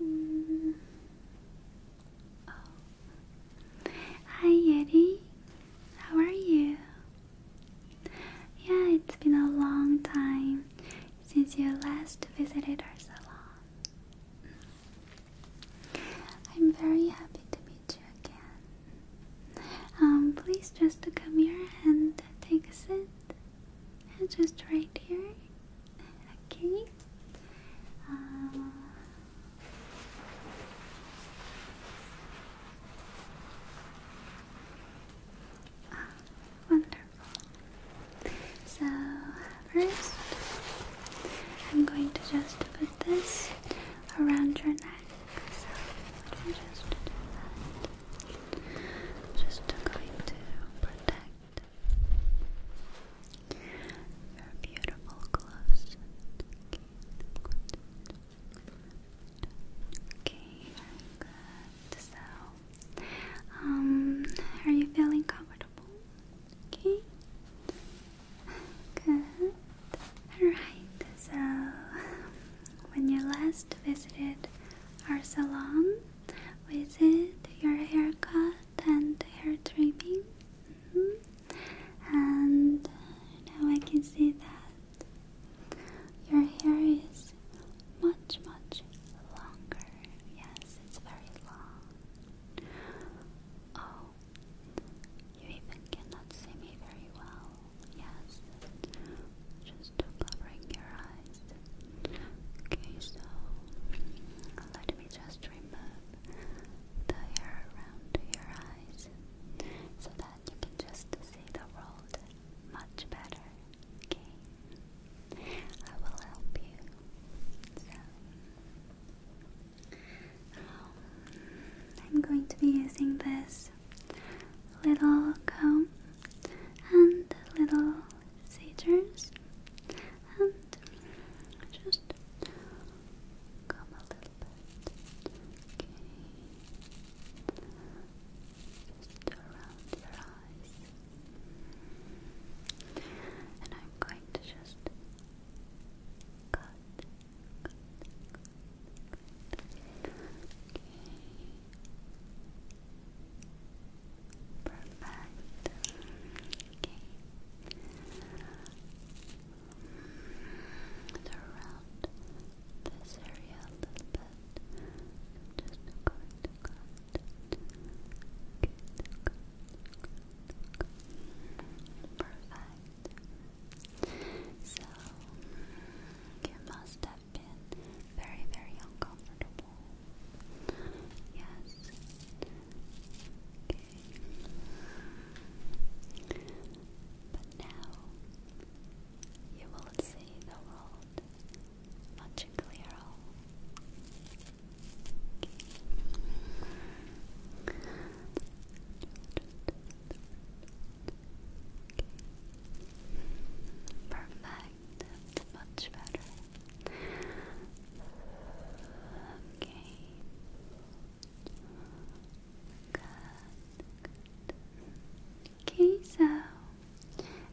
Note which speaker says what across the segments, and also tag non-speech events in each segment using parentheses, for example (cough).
Speaker 1: Mm. Oh. Hi Yeti, how are you? Yeah, it's been a long time since your last visited our salon. I'm very happy to meet you again. Um, please just come here and take a sit just right here. Okay. Uh, wonderful. So first, I'm going to just put this around your neck. So just just going to protect your beautiful gloves. Okay, good. So, um, are you feeling comfortable? Okay. Good. Alright, so when you last visited our salon. Visit your haircut and hair trimming. Mm-hmm. And now I can see that your hair is much, much longer. Yes, it's very long. Oh, you even cannot see me very well. Yes just covering your eyes. Okay, so let me just remove the hair around your eyes so that you can just see the world much better. Okay, I will help you. So, um, I'm going to be using this little comb and little scissors and just comb a little bit. Okay. Just around your eyes. And I'm going to just cut. Okay. Perfect. Okay. Around this area a little bit. just going to cut. Perfect. So your mustache have very, very uncomfortable. Yes. Okay. But now you will see the world much clearer. Perfect much better. Okay. Good. Okay, so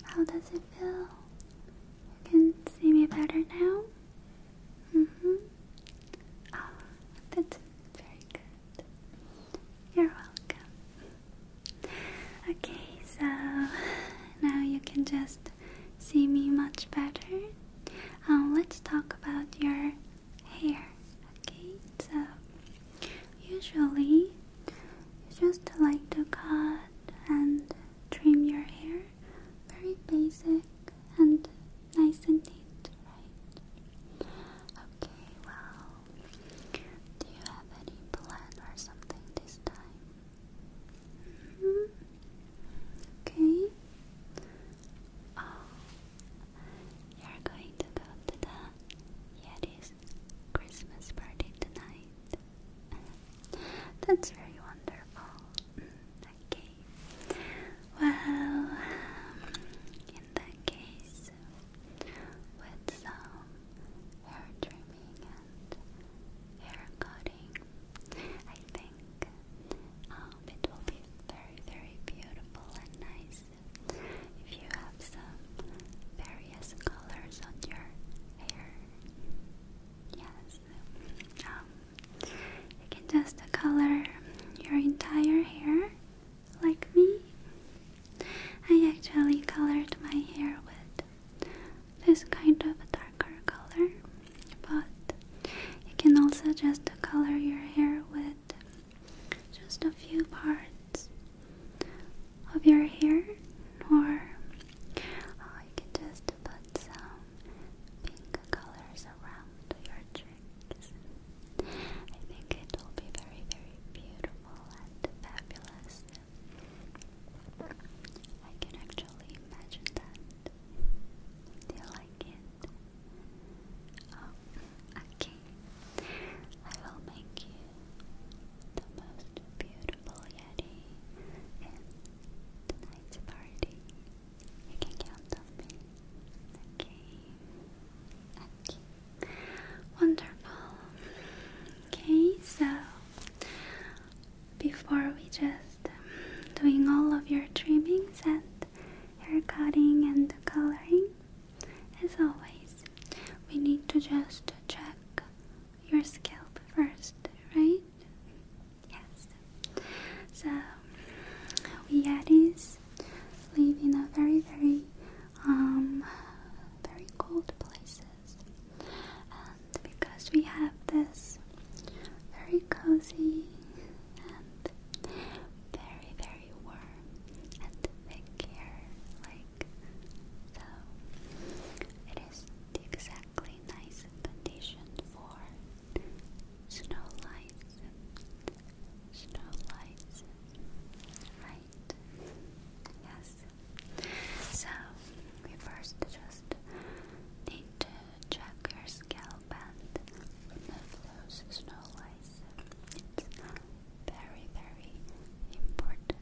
Speaker 1: how does it feel? You can see me better now? hmm Ah, that's very good. You're welcome. Okay, so now you can just see me much better. Um, let's talk about your hair. Okay, so usually you just like to cut and trim your hair very basic and nice and neat, right? Okay, well, do you have any plan or something this time? Mm-hmm. Okay. Oh, you're going to go to the Yeti's Christmas party tonight. (laughs) That's very wonderful. Mm, okay. Well, um, in that case, with some hair trimming and hair cutting. I think um, it will be very, very beautiful and nice if you have some various colors on your hair. Yes, um, you can just color your entire hair like me. I actually colored my hair with this kind of a darker color but you can also just color your hair with just a few parts of your hair or uh, you can just put some pink colors around your cheeks I think it will be very very beautiful and fabulous I can actually imagine that. Do you like it? Oh, okay. I will make you the most beautiful Yeti in tonight's party. You can count on me. Okay. Okay. Wonderful. Okay, so before we just um, doing all of your trimmings and hair cutting and coloring, as always, we need to just check your scalp first, right? Yes. So we Yetis live in a very, very, um, very cold places and because we have this very cozy and very, very warm and thick hair, like so, it is the exactly nice condition for snow lights, snow lights, right? Yes. So, we first just need to check your scalp and remove those snow lice. It's very, very important.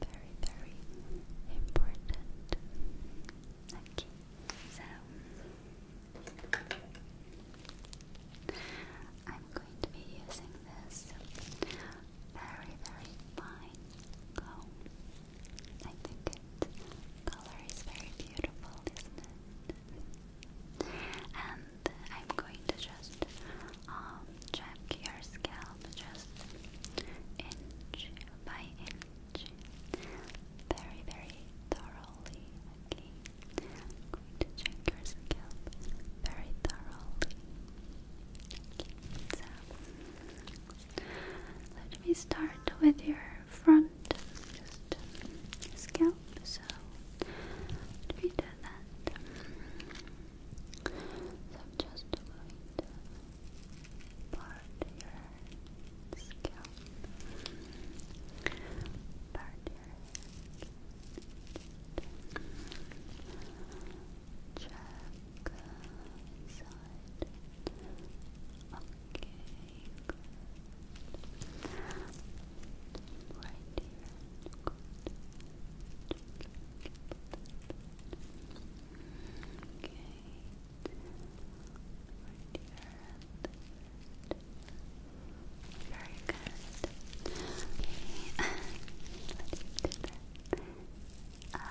Speaker 1: Very, very important. Okay, so I'm going to be using this very, very fine I think its color is very beautiful, isn't it? And I'm going to just um, check your scalp just inch by inch, very, very thoroughly. Okay, going to check your scalp very thoroughly let me start with your front, scalp. So, let me do that. I'm just going to part your scalp, part your. Just check side. Okay, Right here. Okay. Right here. Very good. Okay. Let's do that. Okay.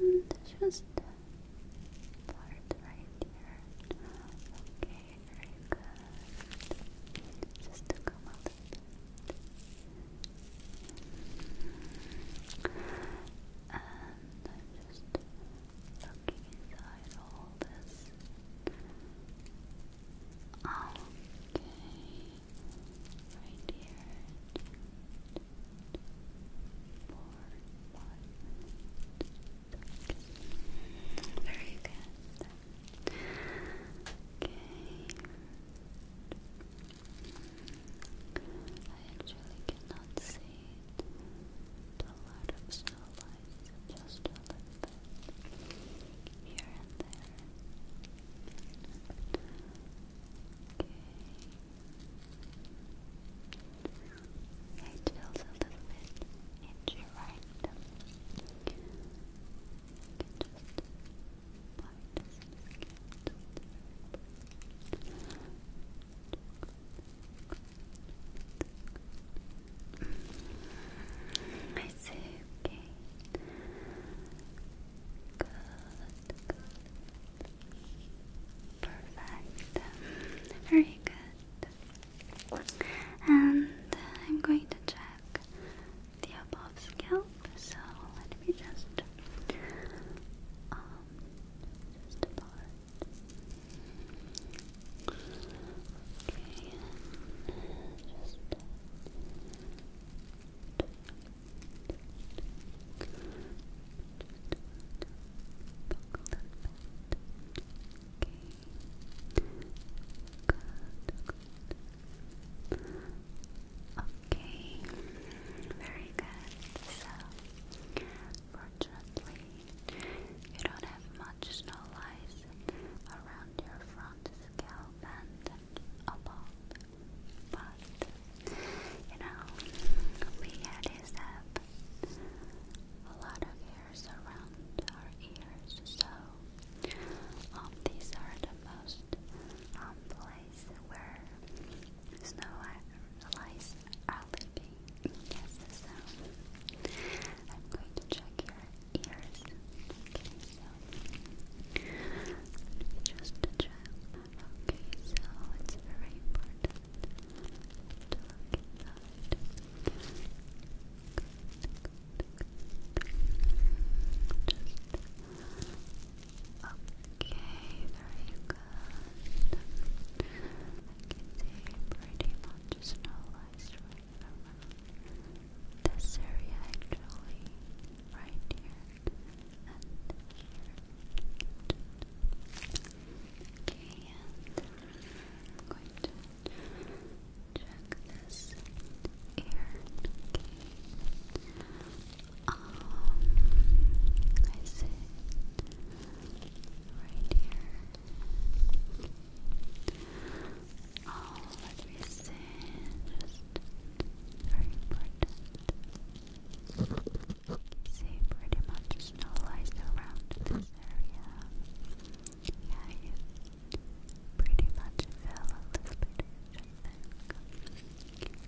Speaker 1: And just part right here. Okay, very Just to come out of it. And I'm just looking inside all this. Okay. Right here. Four, Very good. Okay. I actually cannot see it. A of snow just a little bit here and there. Okay. It feels a little bit itchy, right? You can just bite some skin just a little bit. Okay. It's okay. Good, Perfect. Very good. And I'm going to check the above scalp. So let me just um Okay, very good. So, fortunately, you don't have much snow lice around your front scalp and a bob. But you know, we have a lot of hairs around our ears, so um, these are the most um, place where snow lice are living. Yes, so I'm going to check your ears. Okay, so let me just Okay, so it's very important to look inside. okay, very good. I can see pretty much snow lice right this area actually, right here and here. Okay, and I'm going to check this ear. Um, I see right here. Oh, let Just very important. You see, pretty much snow lies around this area. Yeah, you pretty much fell a little bit, I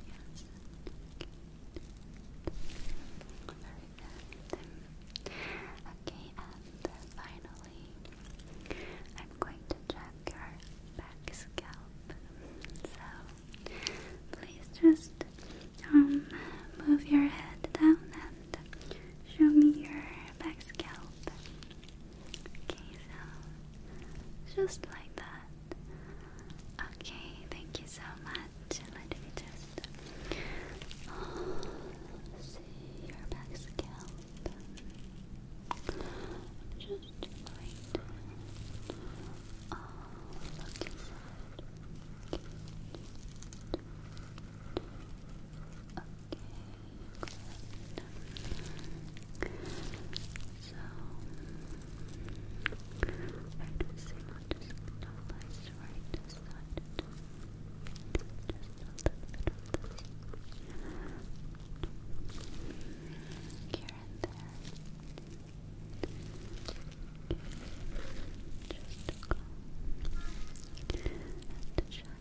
Speaker 1: Yes. Very good. Okay, and finally. I'm going to check your back scalp. So please just um, move your head down and show me your back scalp. Okay, so just like that. Okay, thank you so much. Let me just oh, see your back scalp. I'm just going look inside. Okay, So, I just want to stabilize right this Just a little bit of here and there. Just to and check. And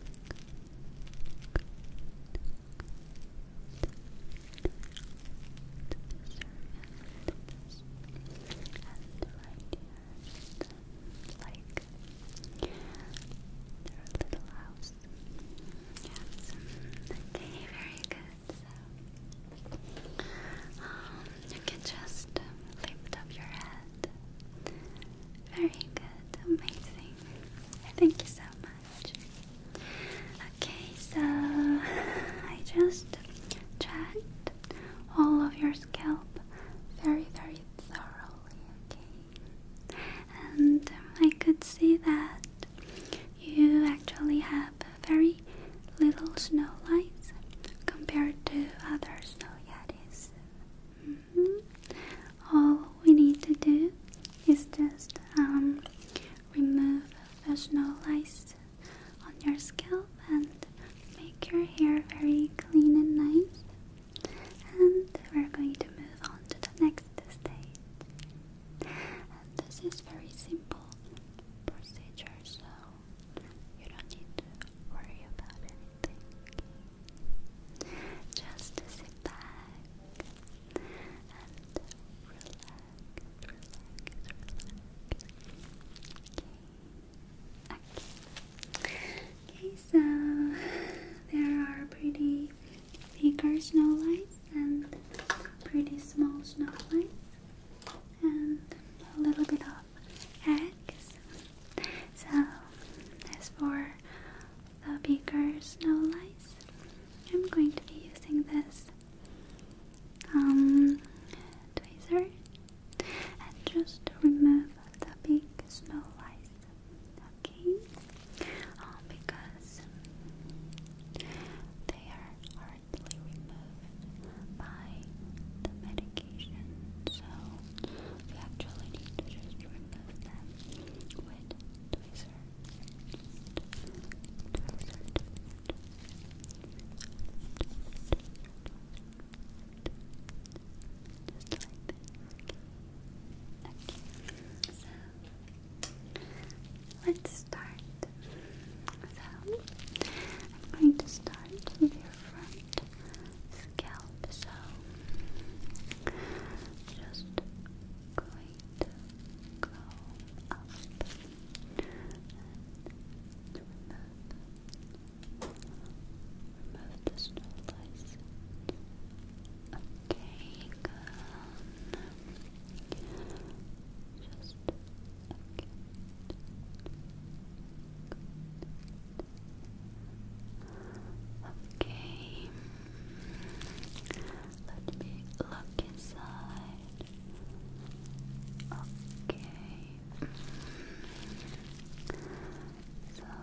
Speaker 1: right like their little house Yes. Okay, um, very good. So, um, you can just um, lift up your head. Very good, amazing. Thank you so much. Okay, so (laughs) I just checked all of your scalp very, very thoroughly and I could see that you actually have very little snow lights compared to other snow yetis. Mm-hmm. All we need to do is just um, remove the snow lights on your scalp and make your hair very clean and nice and we're going to move on to the next stage. this is very simple procedure, so you don't need to worry about anything. Just sit back and relax, relax, relax. Okay. Okay, so there are pretty bigger snow lights and pretty small snow lights and a little bit of eggs. So as for the bigger snow lights, I'm going to be using this um tweezer and just remove the big snow lights okay? Um, because they are hardly removed by the medication, so we actually need to just remove them with tweezers. Just like this. Okay. So let's start. So I'm going to start with your front scalp. So just going to go up and remove, the snow Okay, good. Just okay. Okay. Let me look inside. Okay. So right here.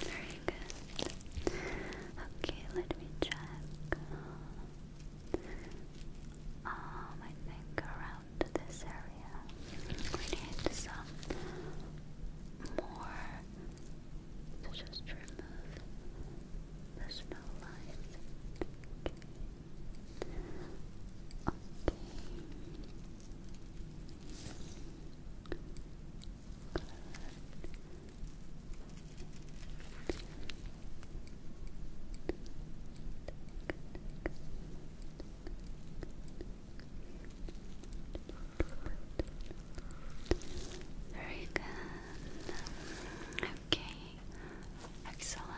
Speaker 1: Very good. Okay, let me check. Um, I think around this area we need some more to just remove the snow line. Okay. Very good. Okay. Excellent.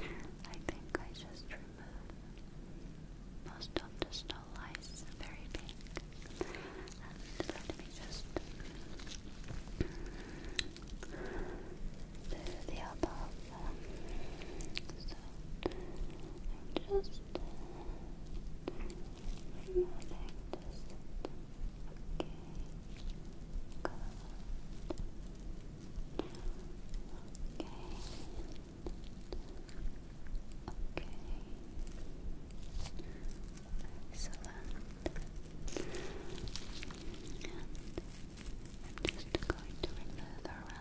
Speaker 1: I think I just drew remove most of the snow lies very big. And let me just do the above. So I'm just Okay. Okay. Okay. Excellent. I'm just going to remove around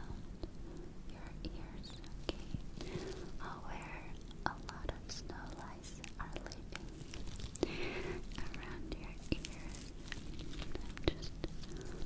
Speaker 1: your ears, okay? Uh, where a lot of snow lice are living around your ears. I'm just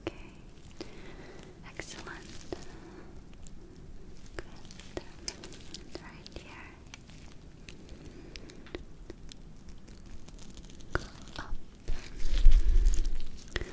Speaker 1: Okay, excellent. Good. And right here. Go up and remove. Okay.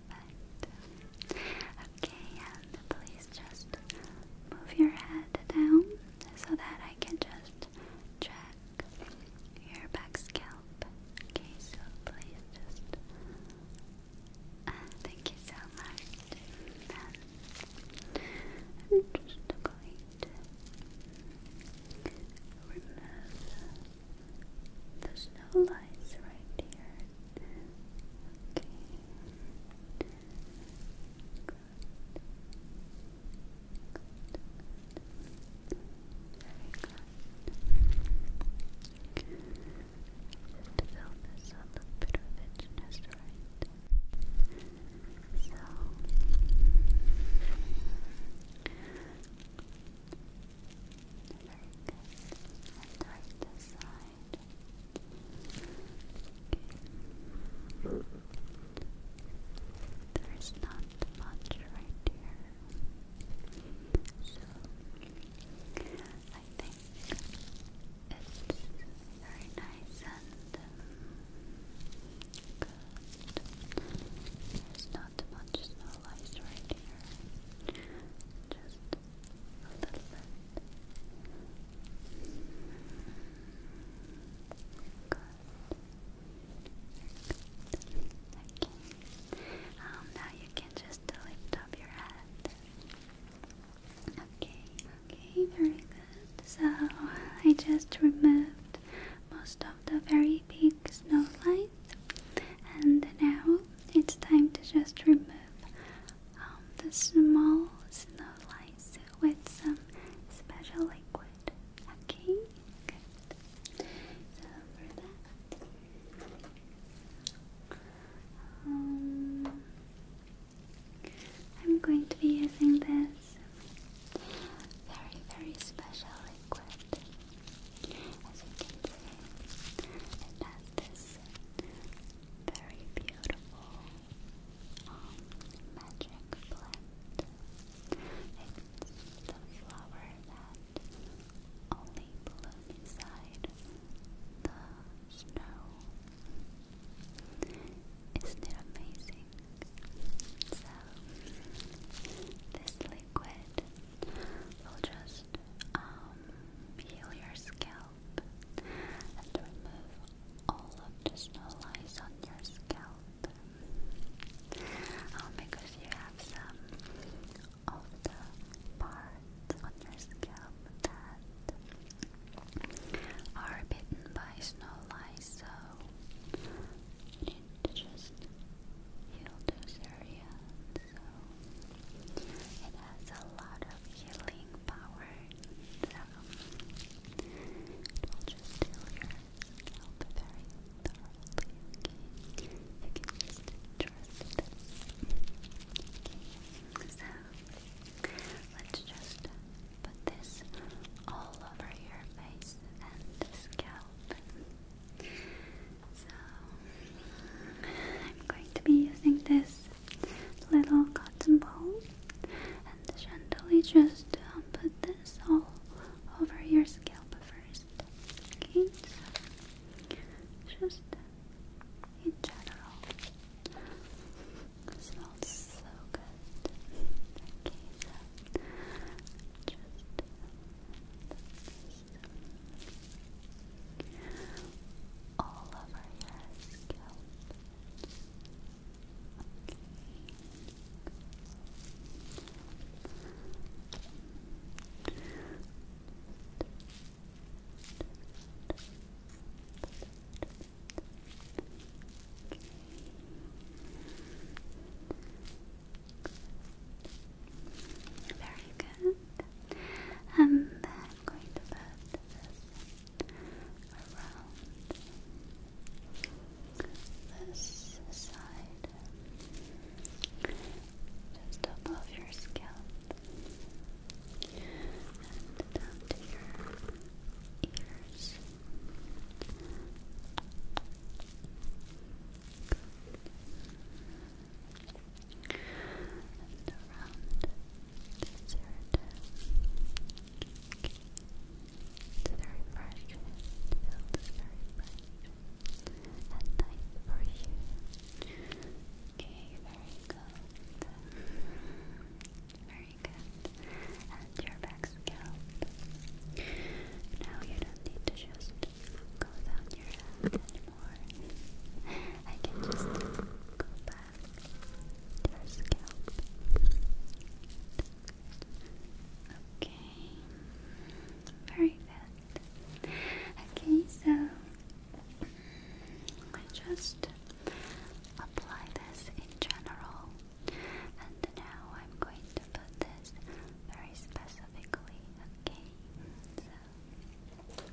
Speaker 1: Okay, and please just move your head down so that I can just check your back scalp. Okay, so please just. Uh, thank you so much. And I'm just going to remove there's no lights right here. Okay. fill this a bit of it right. So very good. And right this side. Okay. There's not much right here. So I think it's very nice and good. There's not much snow right here. Just Okay. Um, now you can just lift up your head. Okay, okay, very good. So I just removed most of the very big snowflakes. And now it's time to just remove um, the small snow snowflakes with some special liquid. Okay, So for that, um, I'm going to be using this very, very special liquid. As you can see, it has this very beautiful um, magic blend. It's the flower that only blooms inside the snow. Isn't it amazing? So, this liquid will just um, heal your scalp and remove all of the snow lies on your scalp um, because you have some of the parts on your scalp that are bitten by snow lice so you just heal those areas Italian, so it has a lot of healing power. So it will just heal your scalp very thoroughly. you can just it. Okay, so let's just put this all over your face and scalp. So I'm going to be using this little cotton ball and gently just um, put this all over your scalp first. Okay, just in general. smells so good. Okay, just all over your Very good. I'm going to put around this side, just above your scalp, and down to your ears. And around zero okay. It's very fresh. It feels very fresh and nice for you. Okay, very good. Very good. And your back scalp. Now you don't need to just go down your hand anymore. I can just go back to your scalp. Okay, very good. Okay, so I just apply this in general, and now I'm going to put this very specifically. Okay, I'm going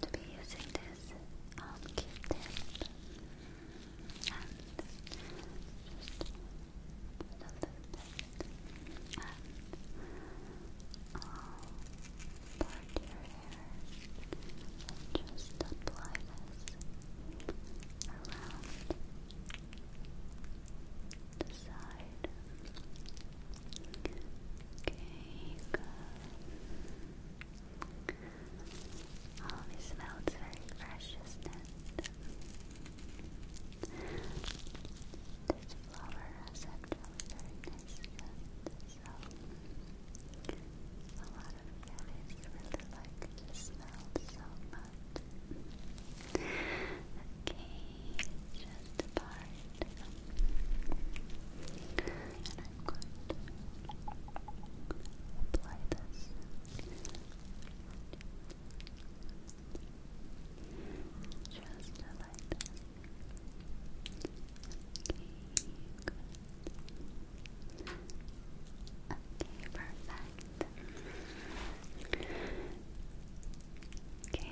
Speaker 1: to be using this um, q and just a little bit and all part your and just apply this around the side Okay, good. Always smells very fresh, This flower has actually very nice scent, a lot of yogis really like the smell so much. Okay, just a part. And I'm going to apply this. Just like this. Okay, Okay, perfect. Okay,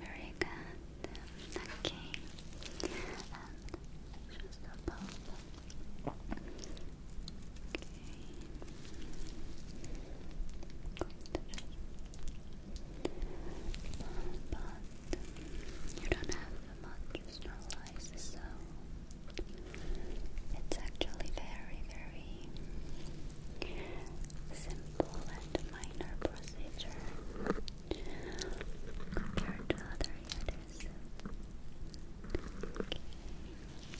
Speaker 1: very good. Okay. just above. But you don't have much snorlax, so it's actually very, very simple and minor procedure compared to other yodas.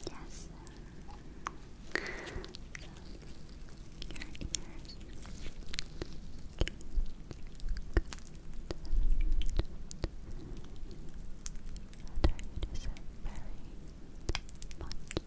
Speaker 1: Yes. your ears. are very much.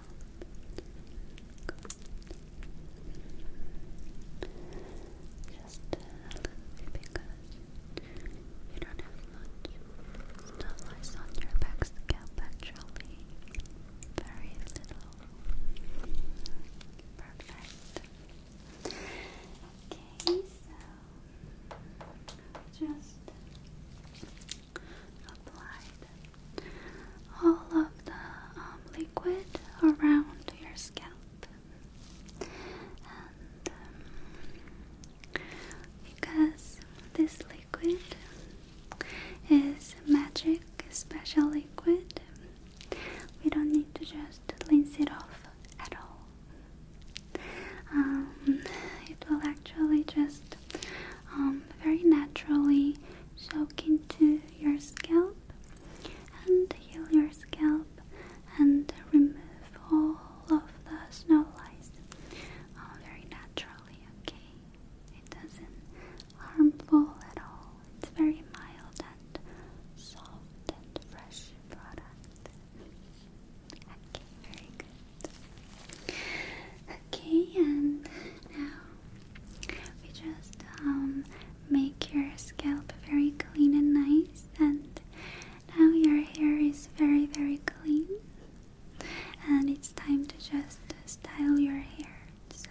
Speaker 1: Just a little bit because you don't have much stuff lies on your back scalp Very little. Perfect. Okay, so just apply all of the um, liquid around your scalp, and um, because this liquid is magic, special liquid, we don't need to just rinse it off at all. Um, it will actually just very naturally soak into your scalp and heal your scalp and remove all of the snow lice all oh, very naturally, okay? It doesn't harmful at all. It's very mild and soft and fresh product. Okay, very good. Okay, and now we just um, make your scalp very clean and nice, and now your hair is very, very clean, and it's time to just style your hair. So,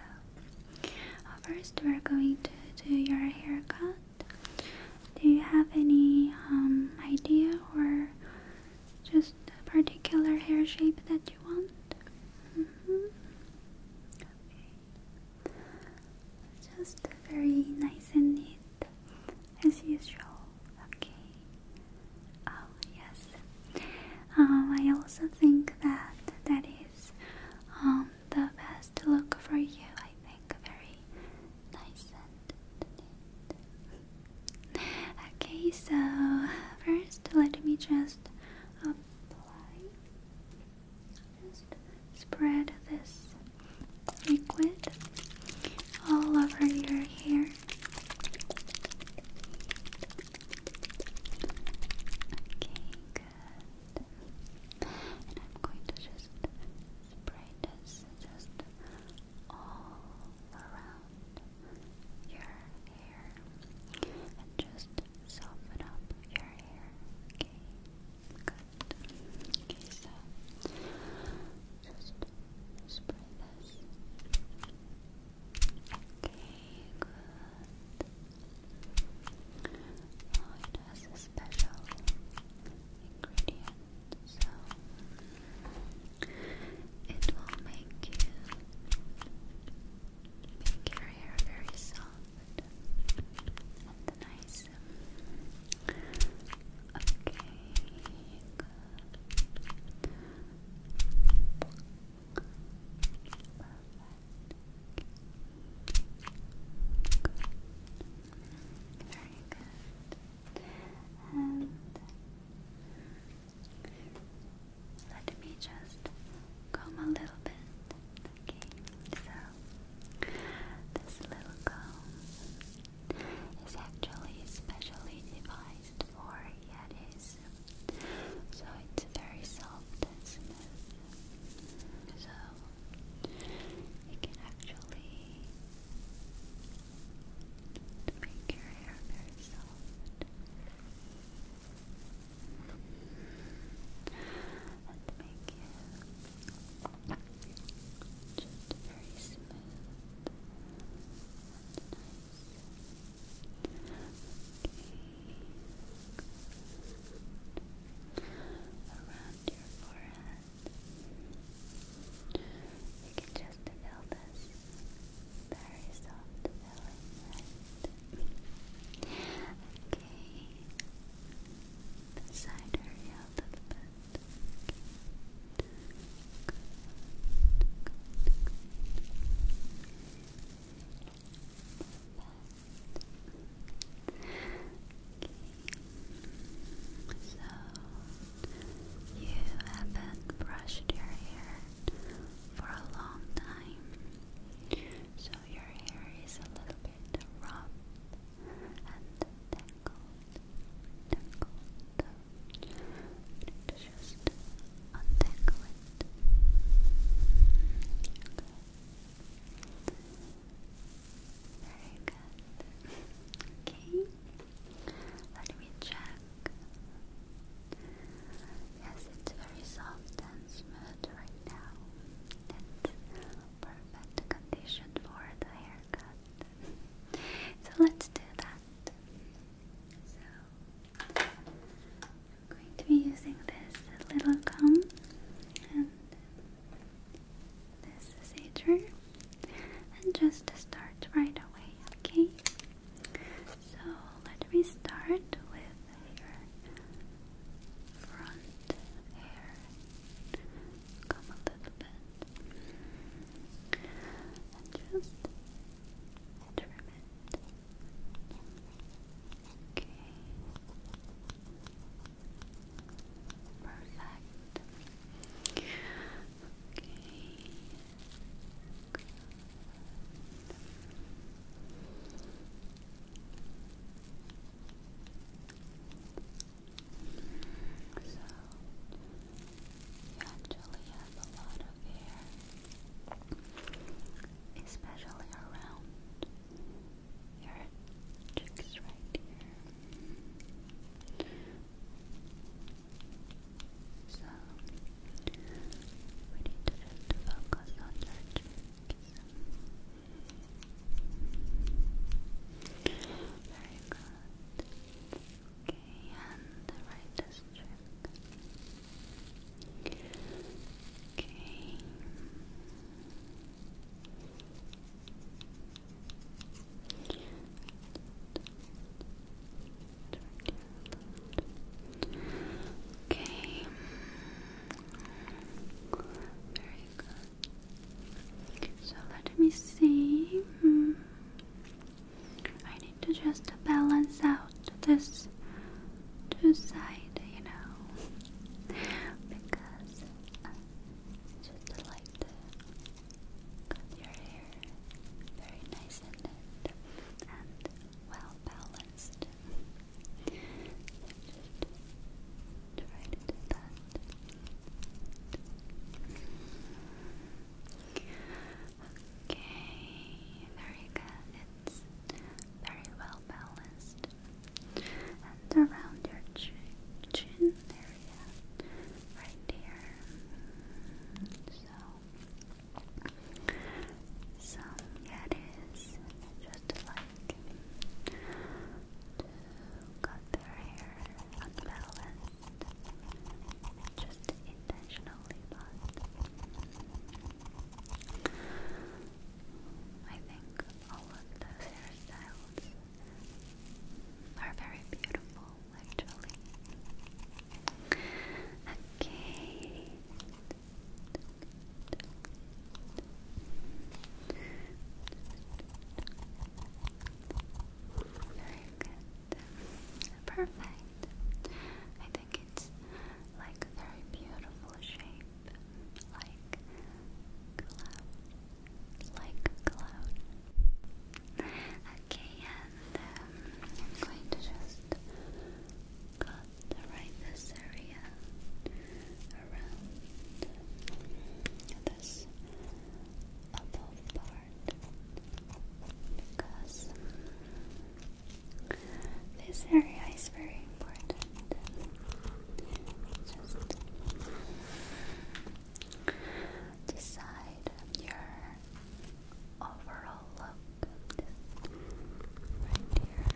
Speaker 1: first, we're going to do your haircut. Do you have any um, idea or just a particular hair shape that you want. Mm-hmm. Just very nice and neat as usual. Okay. Oh yes. Um, I also think that that is um, the best look for you. I think very nice and neat. (laughs) Okay, so first let me just just apply, just spread this liquid all over your hair. Okay, good. And I'm going to just spray this just all around your hair and just soften up your hair. Okay, good. Okay, so just spray this. Okay, good. Oh, it has a special ingredient, so it will make you make your hair very soft and nice. Okay, Very good. Let me just comb a little bit. Okay, so this little comb is actually specially devised for Yetis. So it's very soft So you can actually make your hair very soft and make it just very smooth Around your forehead. You can just feel this very soft feeling, okay, beside her a little bit. Okay. So you have been brushed your hair for a long time, so your hair is a little bit rough and tangled. Tangled. Just untangle it. Very good. okay. Let me check Yes, it's very soft and smooth right now. It's perfect condition for the haircut. (laughs) so let's do that. So I'm going to be using this little comb and this is and just start right away, okay? So let me start with your front hair. Come a little bit and just trim it. Okay. Perfect. Okay. So you actually have a lot of hair, especially around your cheeks right here. So we need to just focus on your Very good. Okay, and right this Okay. Okay. Very mm. good. So let me see. Mm. I need to just balance out this two side, you know, because uh, just like your hair very nice and well balanced. Just try to do that. Okay, very good. It's very well balanced. And around your chin area, right here. So some gaddies just like cut their hair unbalanced, just intentionally, I think all of those hairstyles are very beautiful actually. Okay, very good. Perfect. I think it's like very beautiful shape. Like cloud. Like cloud. Okay, yeah, I'm going to just cut right this area around this above part because this area is very important. Just decide your overall look got this right here.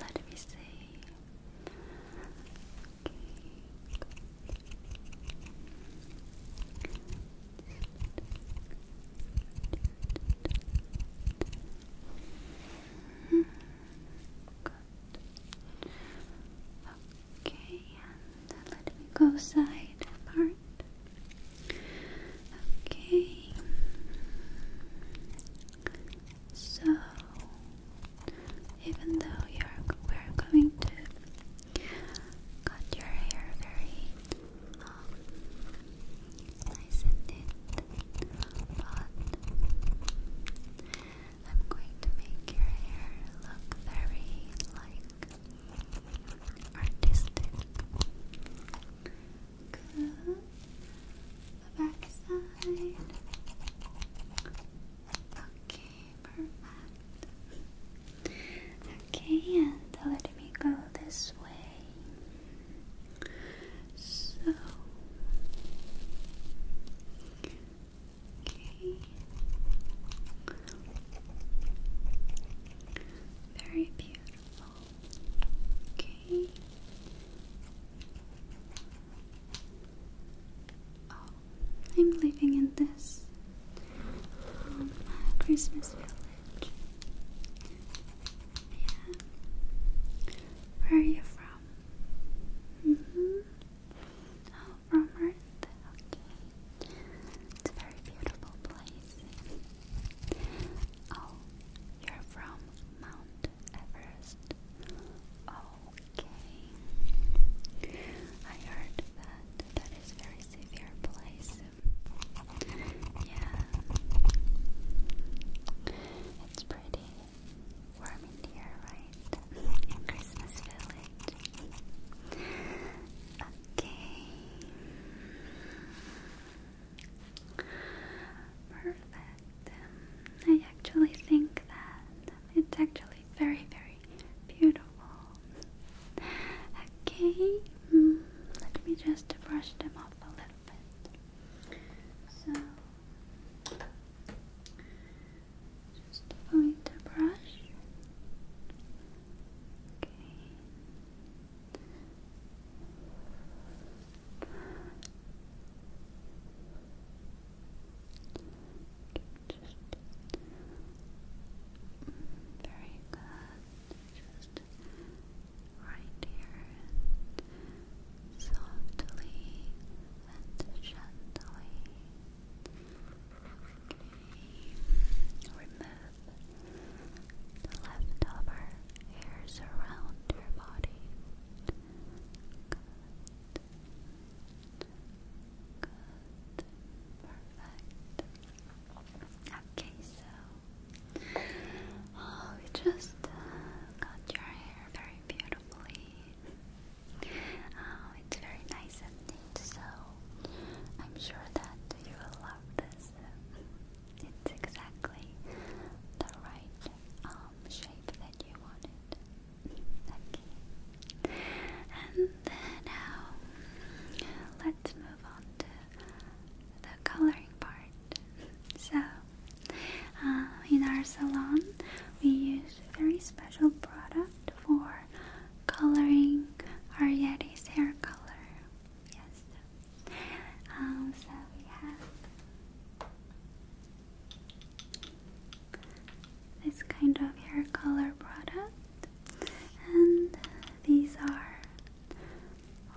Speaker 1: I think it's very, very important. let me see. Okay. Good. Okay, and let me go side apart. Okay. So, even though you're we're going to cut your hair very nice and neat, but I'm going to make your hair look very like artistic. The back side. Okay, perfect. Okay, and let me go this way. So Okay. Very beautiful. Okay. Oh, I'm living in this um, Christmas village. Yeah. Where are you from? Mm hmm Oh, from Earth? Okay. It's a very beautiful place. Oh, you're from Mount Everest. Okay. I heard that that is very severe place. Yeah. It's pretty warm in here, right? In Christmas Village. Okay. Perfect. I actually think that it's actually very, very beautiful. Okay. Mm, let me just brush them off a little bit. So, just find the brush. Okay. Just mm, very good. Just right here softly and gently. Remove the leftover hairs around your body. Good. Perfect. Okay, so we oh, just uh, your hair very beautifully. Oh, it's very nice and neat, so I'm sure that you will love this. It's exactly the right um, shape that you wanted. Okay. And now um, let's move on to the coloring part. So uh, in our salon, we use very special product for coloring our Yeti's hair color. Yes. Um, so we have this kind of hair color product, and these are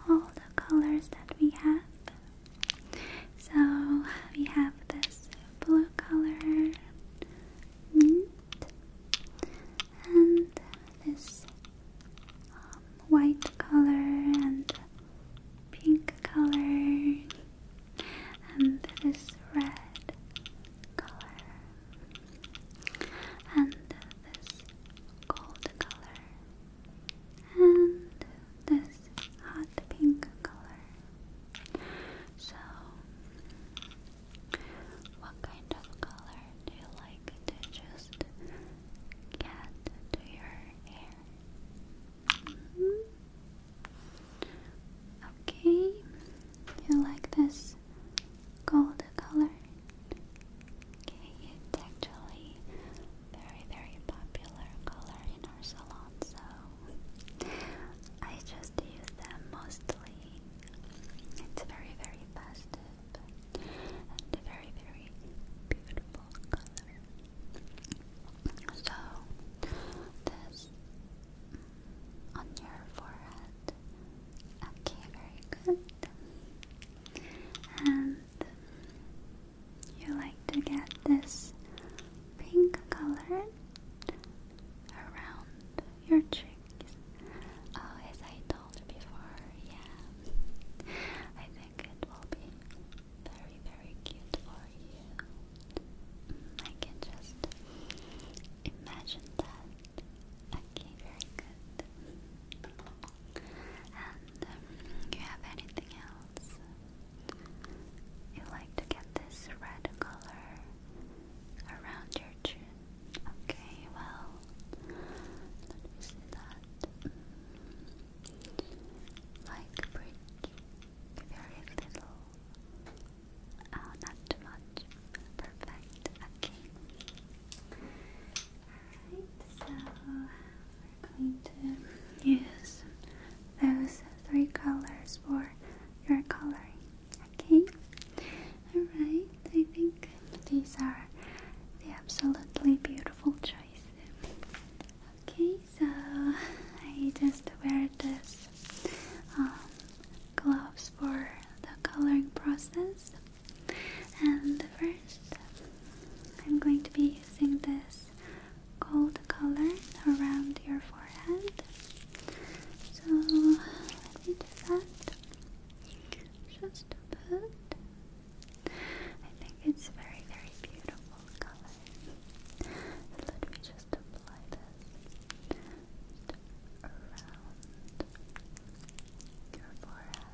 Speaker 1: all the colors that we have so we have this blue color and this um, white color and pink color and this red color and this gold color and this hot pink color. So, what kind of color do you like to just get to your hair? Mm-hmm. Okay, you like this gold color? Okay, it's actually very very popular color in our salon, so I just use them mostly. It's very, very festive and very, very beautiful color. So, this mm, on your forehead. Okay, very good. And you like to get this pink color around your cheeks. Oh, as I told before, yeah. I think it will be very, very cute for you. Mm, I can just imagine that. Okay, very good. And um, you have anything else you like to get this red color around your chin. Okay, well, let that. Mm, like bridge, very little. Oh, not too much. Perfect. Okay. Alright, so we're going to use those three colors for your coloring. Okay? Alright, I think these are the absolutely beautiful choices. Okay, so I just wear this um, gloves for the coloring process. And first, I'm going to be using this gold color around your forehead. So let me do that. Just a bit. I think it's very, very beautiful color. Let me just apply this around your forehead.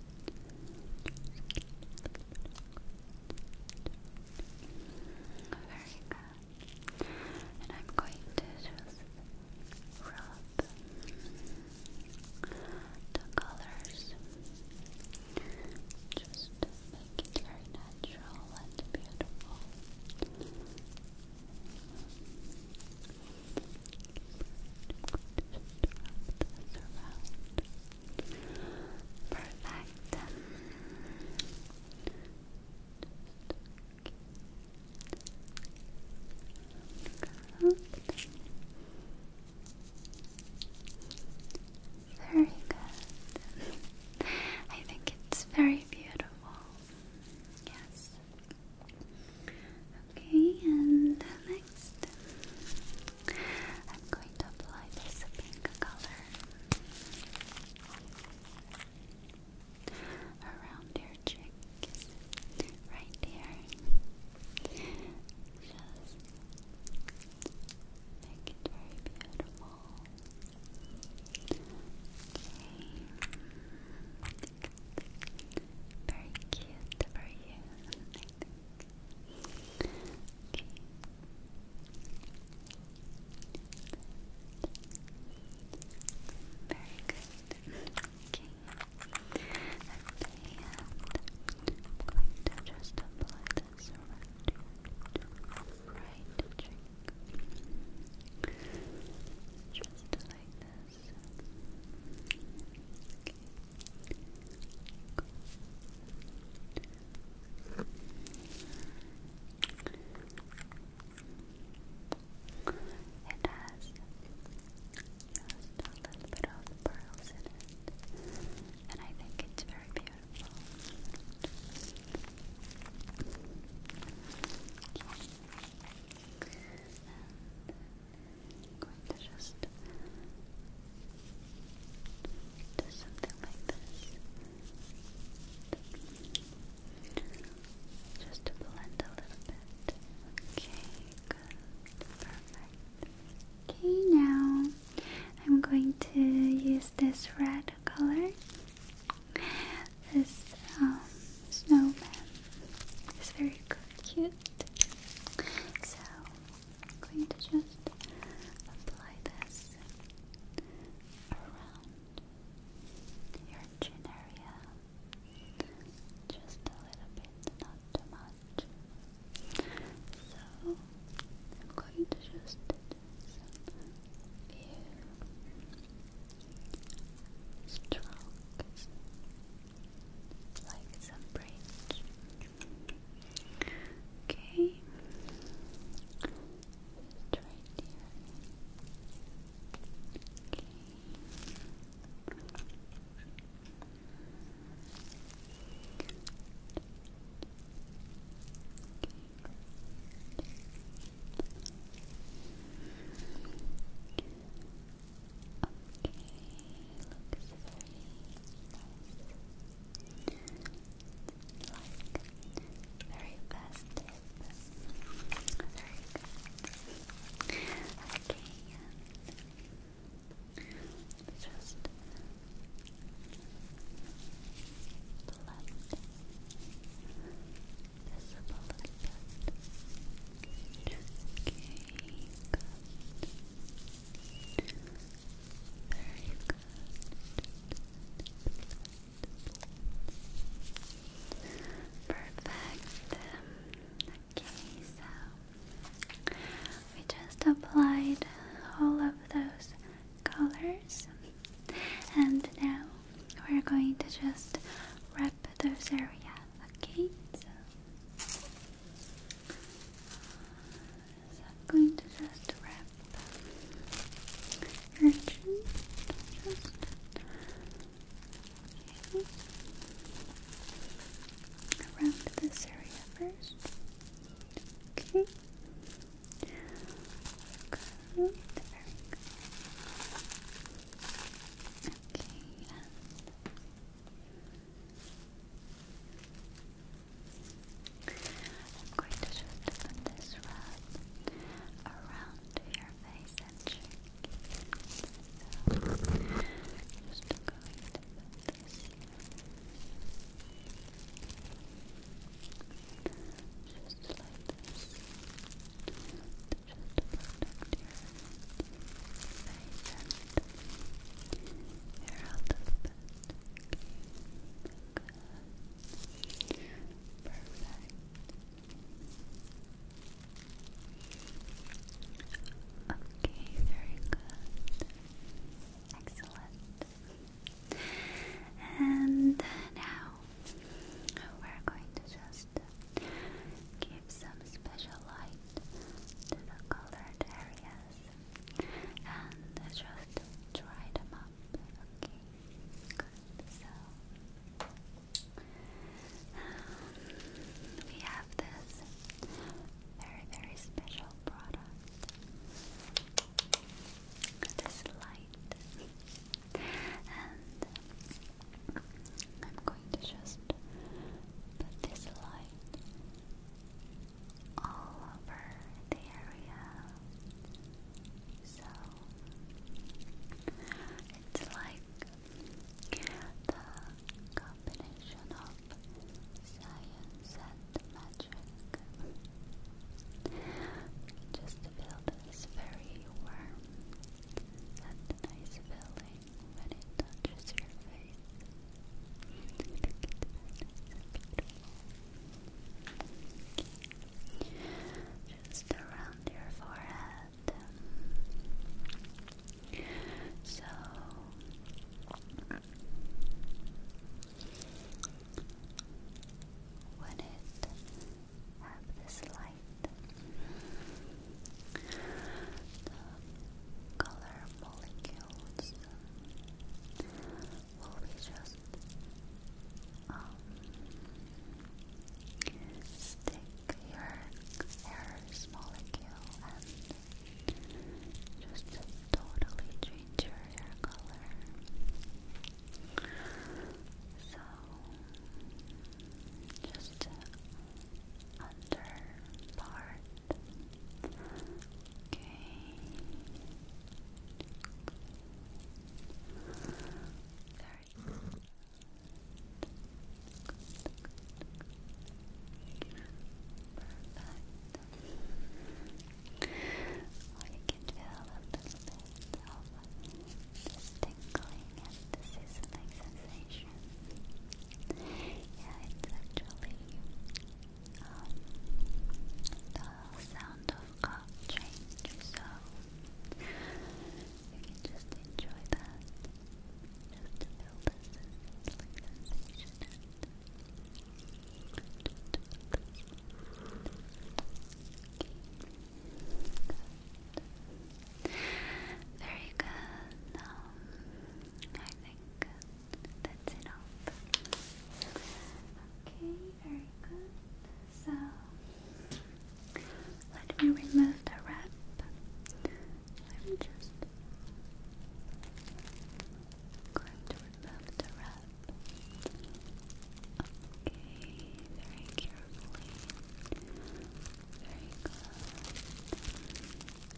Speaker 1: Very good. And I'm going to rub the colors. Just make it very natural and beautiful. Just around. Perfect. Good. Very good. I think it's very beautiful. Yes. Okay, and next. I'm going to apply this pink color around your cheeks, right here. Just make it very beautiful. Okay. Very cute for you. Okay. Very good. Okay. I'm going to just apply this around your right cheek. Just like this. It has just a little pearls in it, and I think it's very beautiful just do something like this. Just to blend a little bit. Okay, good. Perfect. Okay, now I'm going to use this red color. This um, snowman is very cute. So I'm going to just apply this around your chin area. Just a little bit, not too much. So I'm going to just do strokes, like some braids. Okay. Just right here. Okay. Okay, looks very nice like very festive. Very good. Okay, and just blend this up a little bit. Okay, good. Perfect. okay, so we just applied all of those colors, and now we're going to just wrap those areas. Okay, is I'm going to just wrap your chin. Just around this area first. Okay. Okay, I'm going to just put this rub around your face and just going to put this Just like this. Just protect your face and you're Good. Perfect. Okay, very good. Excellent. And now we're going to just give some special light to the colored areas and just dry them up. Okay, So um, we have this very very special product. This light, and I'm going to just put this light all over the area. So it's like the combination of science and magic. Just feel this very warm and nice feeling when it touches your face. Just around your forehead. So when it have this light, the color molecules will we just um, stick your hair molecule and just totally change your hair color? So just under part can feel a little bit of this tingling and the sizzling sensation. Yeah, it's actually um, the sound of change, so you can just enjoy that, just to this sensation Very good. I think that's enough. Okay, very good. So let me remove the wrap. Let me just going to remove the wrap. Okay, very carefully. Very good. And right here, just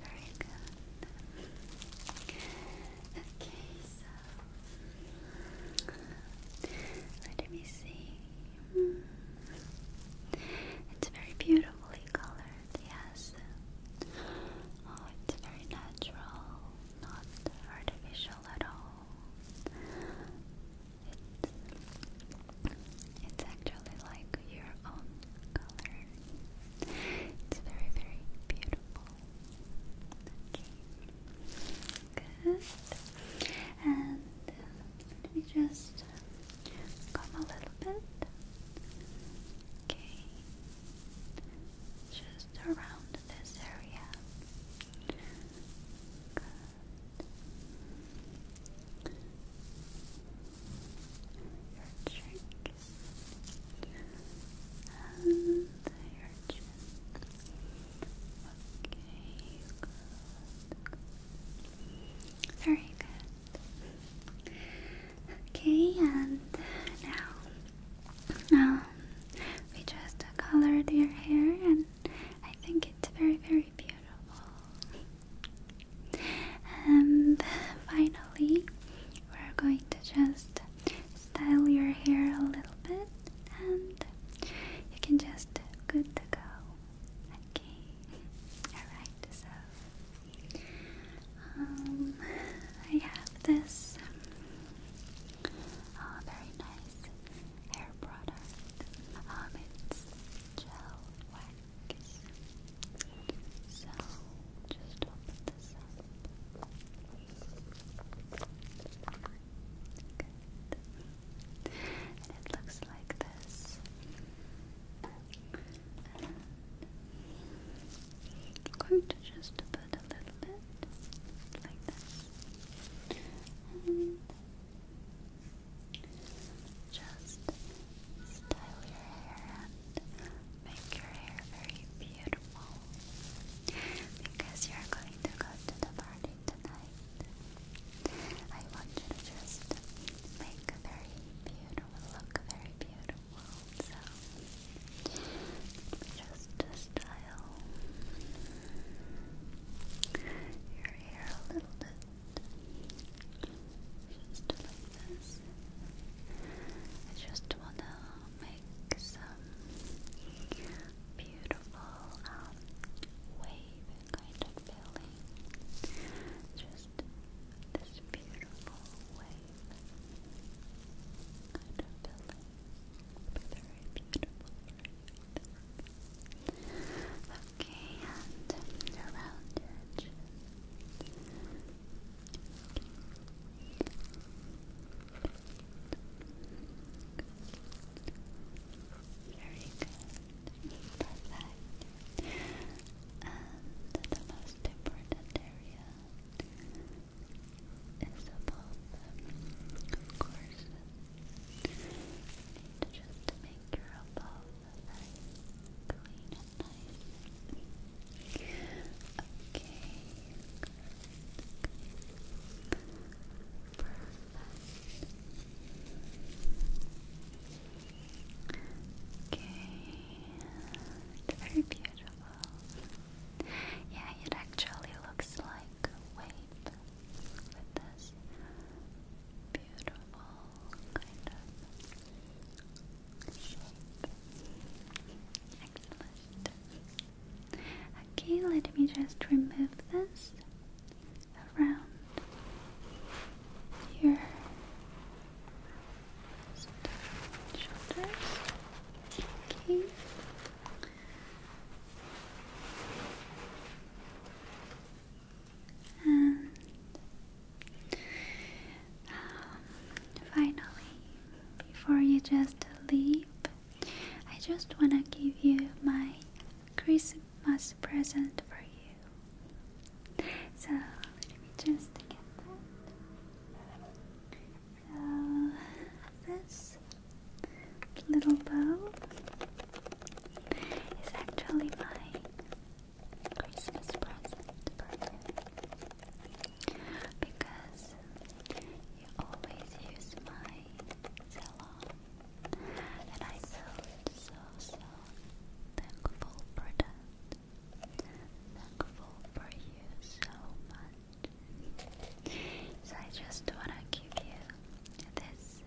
Speaker 1: Very good. Okay, so let me see. Hmm. It's very beautiful beautifully colored, yes. Oh, it's very natural, not artificial at all. It's, it's actually like your own color. It's very, very beautiful. Okay. Good. And uh, just uh, come a little bit. Okay, just around this area. Your cheeks and your chin. Okay, good. Very good. Okay, and now um, we just colored your hair, and I think it's very, very beautiful. And finally, we're going to just style your hair a little bit, and you can just good to go. Okay, alright, so um, I have this uh, very nice hair um, it's gel wax. So just open this up. Good. And it looks like this. I'm going to just put a little bit like this. And just style your hair and make your hair very beautiful because you're going to go to the party tonight. I want you to just make a very beautiful look, very beautiful. Just to style your hair a little bit. Just like this. I just wanna make some beautiful um, wave kind of feeling. Just just this beautiful wave kind of filling very beautiful okay, and around your chin very good, perfect and the most important area is above them. Of course, you to make your above very clean and nice. Okay. Perfect. Okay, very beautiful. Yeah, it actually looks like a wave with this beautiful kind of shape. Excellent. Okay, let me just remove this around here shoulders. And um, finally, before you just leave, I just wanna give you my Christmas present for you. So let me just get that. So this little bow is actually my Christmas present for you because you always use my salon and I felt so so thankful for that thankful for you so much. So I just wanna give you this.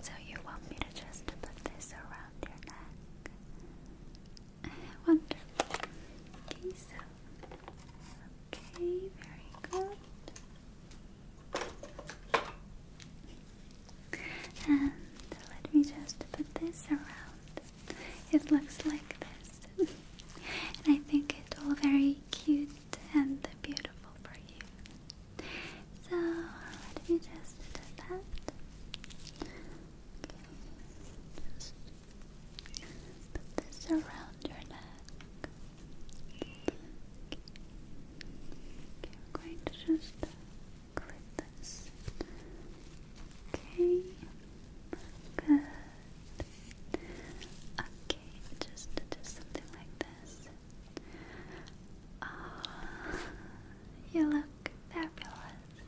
Speaker 1: So you want me to just put this around your neck? Wonderful. Okay, so okay, very good. And let me just put this around. It looks like this. and I think it's all very cute and beautiful for you. So let me just put this around your neck. I'm going to just clip this. Okay, good. Okay, just just something like this. Oh, you look fabulous.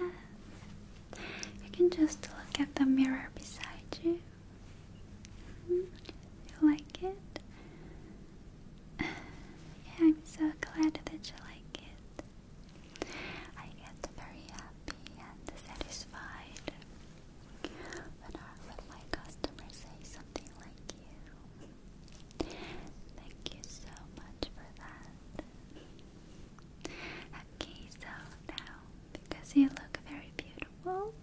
Speaker 1: Yes. You can just look at the mirror beside you. -hmm. You like it? (sighs) I'm so glad that you like it. I get very happy and satisfied when, our, when customers say something like you. Thank you so much for that. Okay, so now because you look very beautiful,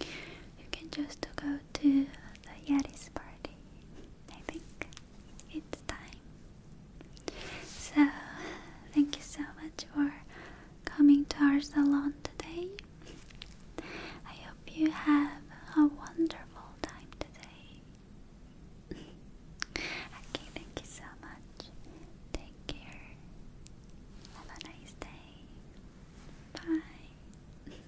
Speaker 1: you can just go to the Yeti's party. I think it's time. So, thank you so much for coming to our salon today. I hope you have a wonderful time today. okay, thank you so much. Take care. Have a nice day. Bye.